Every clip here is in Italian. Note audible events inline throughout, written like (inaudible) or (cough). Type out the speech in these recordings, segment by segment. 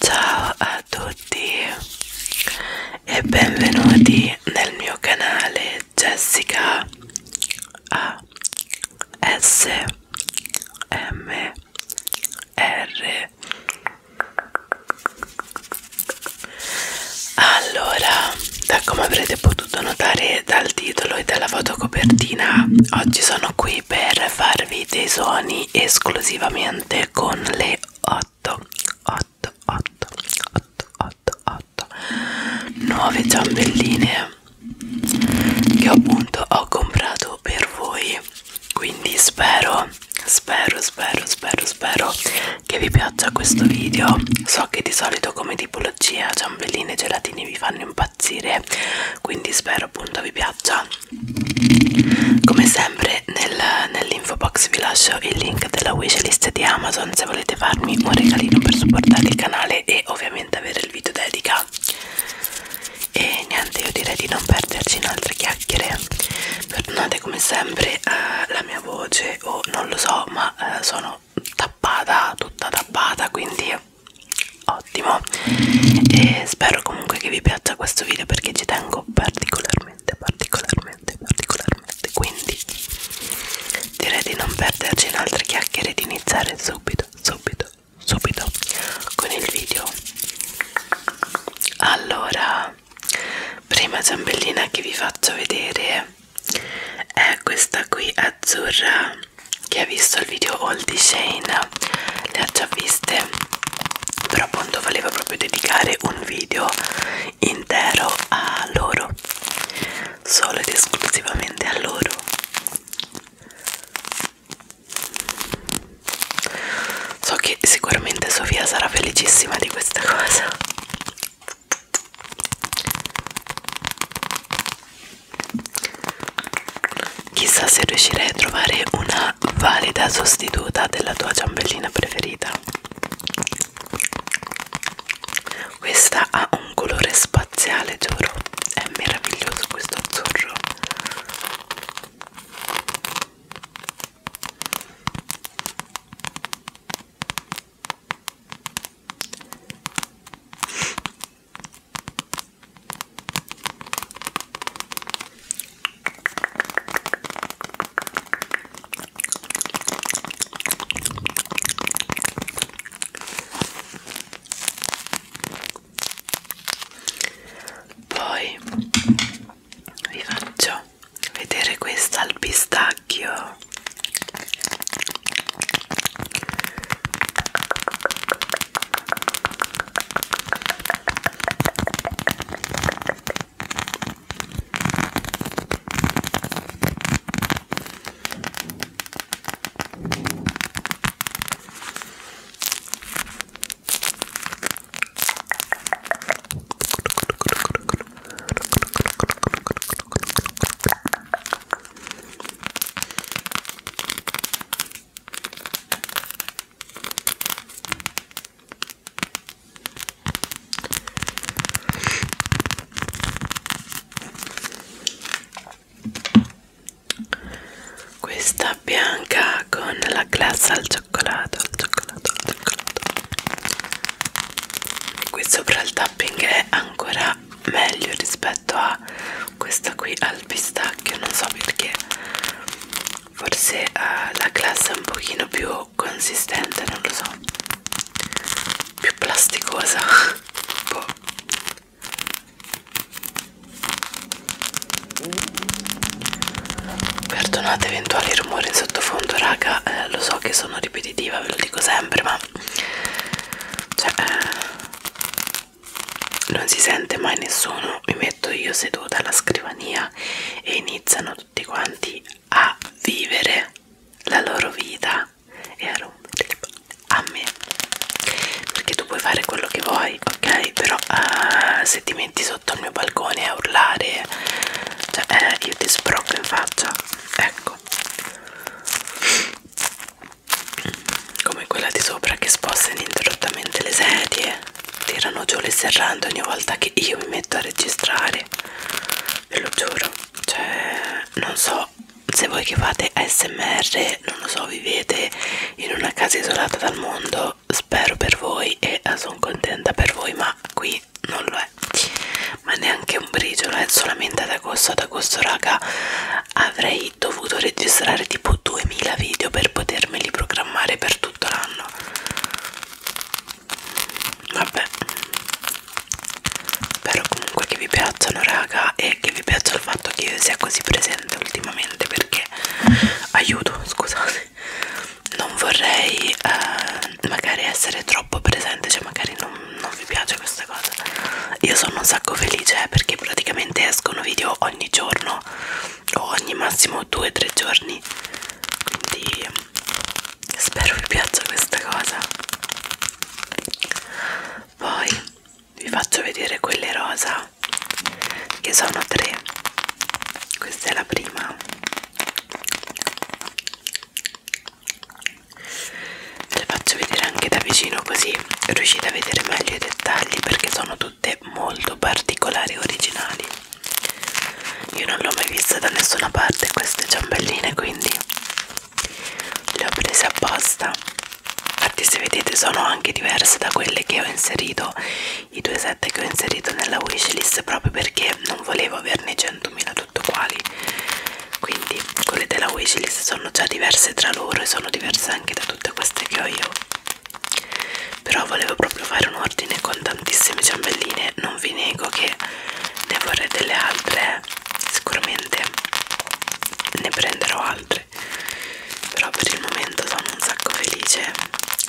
Ciao a tutti e benvenuti nel mio canale Jessica A S M R Allora, da come avrete potuto potuto notare dal titolo e dalla fotocopertina, oggi sono qui per farvi dei suoni esclusivamente con le 8, 8, 8, 8, 8, 8 nuove ciambelline che appunto ho comprato per voi quindi spero spero spero spero spero che vi piaccia questo video so che di solito come tipologia ciambelline e gelatini vi fanno impazzire quindi spero appunto vi piaccia come sempre nel, nell'info box vi lascio il link della wishlist di amazon se volete farmi un regalino per supportare il canale e ovviamente avere il video dedica e niente io direi di non perderci in altre chiacchiere perdonate come sempre eh, la mia voce o oh, non lo so ma eh, sono sono tappata tutta tappata quindi ottimo e spero comunque che vi piaccia questo video perché ci tengo particolarmente particolarmente particolarmente quindi direi di non perderci in altre chiacchiere e di iniziare subito subito subito con il video allora prima ciambellina che vi faccio vedere è questa qui azzurra che ha visto il video haul di Shane le ha già viste però appunto volevo proprio dedicare un video intero a loro solo ed esclusivamente a loro so che sicuramente Sofia sarà felicissima di questa cosa Chissà se riuscirei a trovare una valida sostituta della tua ciambellina preferita. Questa ha un colore spaziale, giuro. È meraviglioso questo azzurro. Poi vi faccio vedere questa al pistacchio questa cioccolata bianca con la glassa al cioccolato, al cioccolato, al cioccolato. Qui sopra il tapping è ancora meglio rispetto a questa qui al pistacchio, non so perché. Forse uh, la glassa è un pochino più consistente, non lo so. Più plasticosa. boh. (laughs) Perdonate eventuali rumori in sottofondo, raga, eh, lo so che sono ripetitiva, ve lo dico sempre, ma cioè, eh, non si sente mai nessuno. Mi metto io seduta alla scrivania e iniziano tutti quanti a vivere la loro vita e a rompere a me perché tu puoi fare quello che vuoi puoi, ok? Però uh, se ti metti sotto il mio balcone a urlare, cioè, eh, io ti sbrocco in faccia, ecco. Come quella di sopra che sposta ininterrottamente le sedie, tirano giù le serrande ogni volta che io mi metto a registrare, ve lo giuro. Cioè, non so se voi che fate ASMR, non lo so, vivete in una casa isolata dal mondo io spero per voi e eh, sono contenta per voi ma qui non lo è ma neanche un briciolo è eh, solamente ad agosto ad agosto raga avrei dovuto registrare tipo 2000 video per potermeli programmare per tutto l'anno vabbè spero comunque che vi piacciono raga e che vi piaccia il fatto che io sia così presente ultimamente perché perché aiuto scusate non vorrei eh, magari essere troppo presente cioè magari non, non vi piace questa cosa io sono un sacco felice eh, perché praticamente escono video ogni giorno o ogni massimo 2-3 giorni quindi spero vi piaccia questa cosa poi vi faccio vedere quelle rosa che sono tre questa è la prima le faccio vedere anche da vicino così riuscite a vedere meglio i dettagli perché sono tutte molto particolari e originali io non l'ho mai vista da nessuna parte queste ciambelline quindi le ho prese apposta infatti se vedete sono anche diverse da quelle che ho inserito i due set che ho inserito nella wishlist proprio perché non volevo averne 100.000 tutto quali quindi quelle della wishlist sono già diverse tra loro e sono diverse anche da tutte queste che ho io però volevo proprio fare un ordine con tantissime ciambelline non vi nego che ne vorrei delle altre sicuramente ne prenderò altre sempre però per il momento sono un sacco felice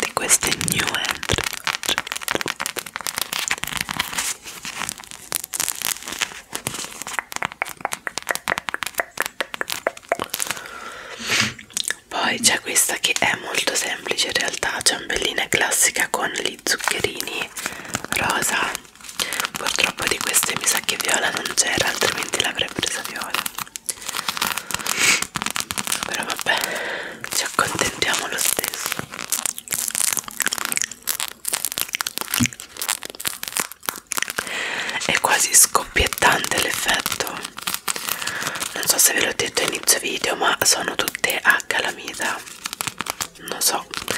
di queste new entry poi c'è questa che è molto semplice in realtà ciambellina classica con gli zuccherini rosa purtroppo di queste mi sa che viola non c'era altrimenti l'avrei presa viola però vabbè ci accontentiamo lo stesso è quasi scoppiettante l'effetto non so se ve l'ho detto all'inizio video ma sono tutte a calamita non so so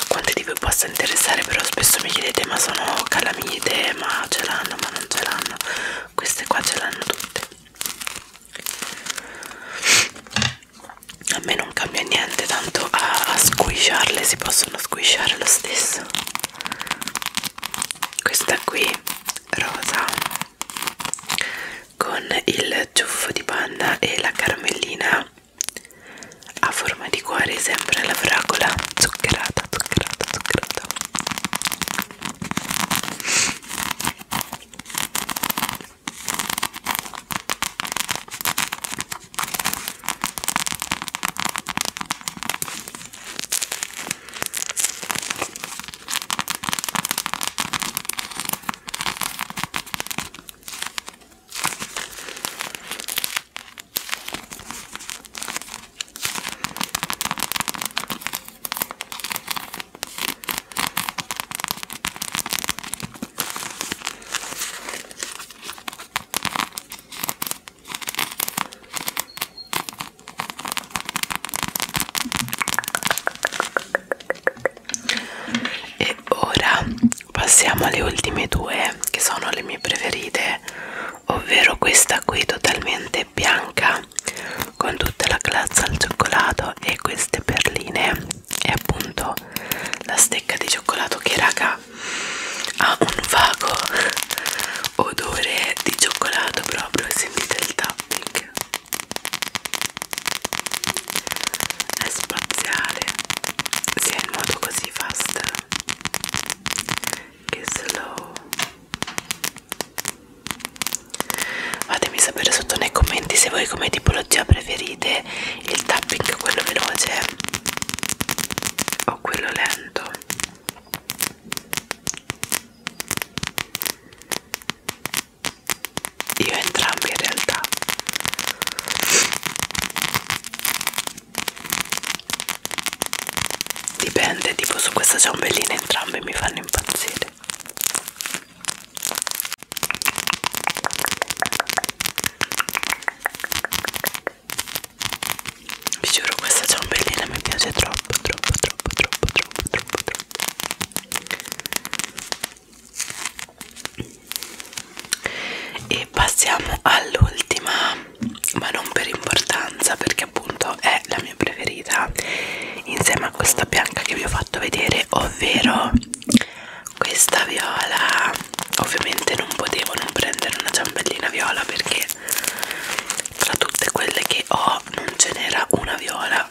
a quanti di voi possa interessare però spesso mi chiedete ma sono calamite ma ce l'hanno ma non ce l'hanno queste qua ce l'hanno tutte a me non cambia niente tanto a, a squisciarle si possono squisciare lo stesso questa qui rosa con il ciuffo di panna e la caramellina a forma di cuore sempre la fragola zuccherata zuccherata zuccherata e ora passiamo alle ultime due che sono le mie preferite ovvero questa qui totalmente bianca con tutta la glazza al cioccolato e queste perline e appunto la stecca di cioccolato che raga ha un vago odore di cioccolato proprio sentite il tapping è spaziale sia in modo così fast che slow fatemi sapere sotto nei commenti se voi come tipologia preferite il tapping quello veloce o quello lento io entrambi in realtà dipende tipo su questa ciambellina entrambe mi fanno impazzire vi giuro questa ciambellina mi piace troppo troppo troppo troppo troppo troppo troppo e passiamo all'ultima ma non per importanza perché appunto è la mia preferita insieme a questa bianca che vi ho fatto vedere ovvero questa viola ovviamente non potevo non prendere una ciambellina viola perché tra tutte quelle che ho non ce n'era una viola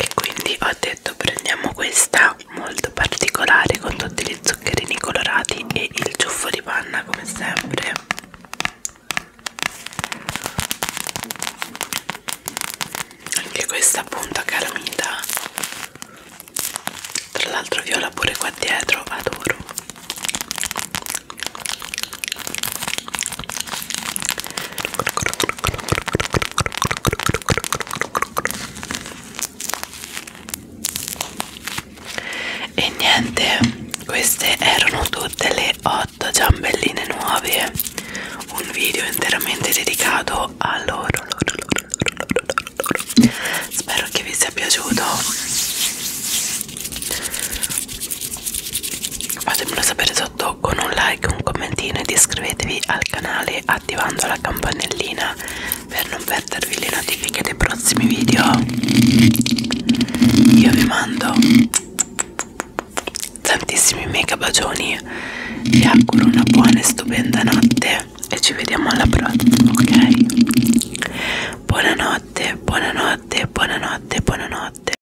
e quindi ho detto prendiamo questa molto particolare con tutti gli zuccherini colorati e il ciuffo di panna come sempre anche questa punta caramita tra l'altro viola pure qua dietro adoro e niente queste erano tutte le 8 ciambelline nuove un video interamente dedicato a loro, loro, loro, loro, loro, loro. spero che vi sia piaciuto fatemelo sapere se fatto con un like, un commentino ed iscrivetevi al canale attivando la campanellina per non perdervi le notifiche dei prossimi video. Io vi mando tantissimi mega bacioni, vi auguro una buona e stupenda notte e ci vediamo alla prossima, ok? Buonanotte, buonanotte, buonanotte, buonanotte.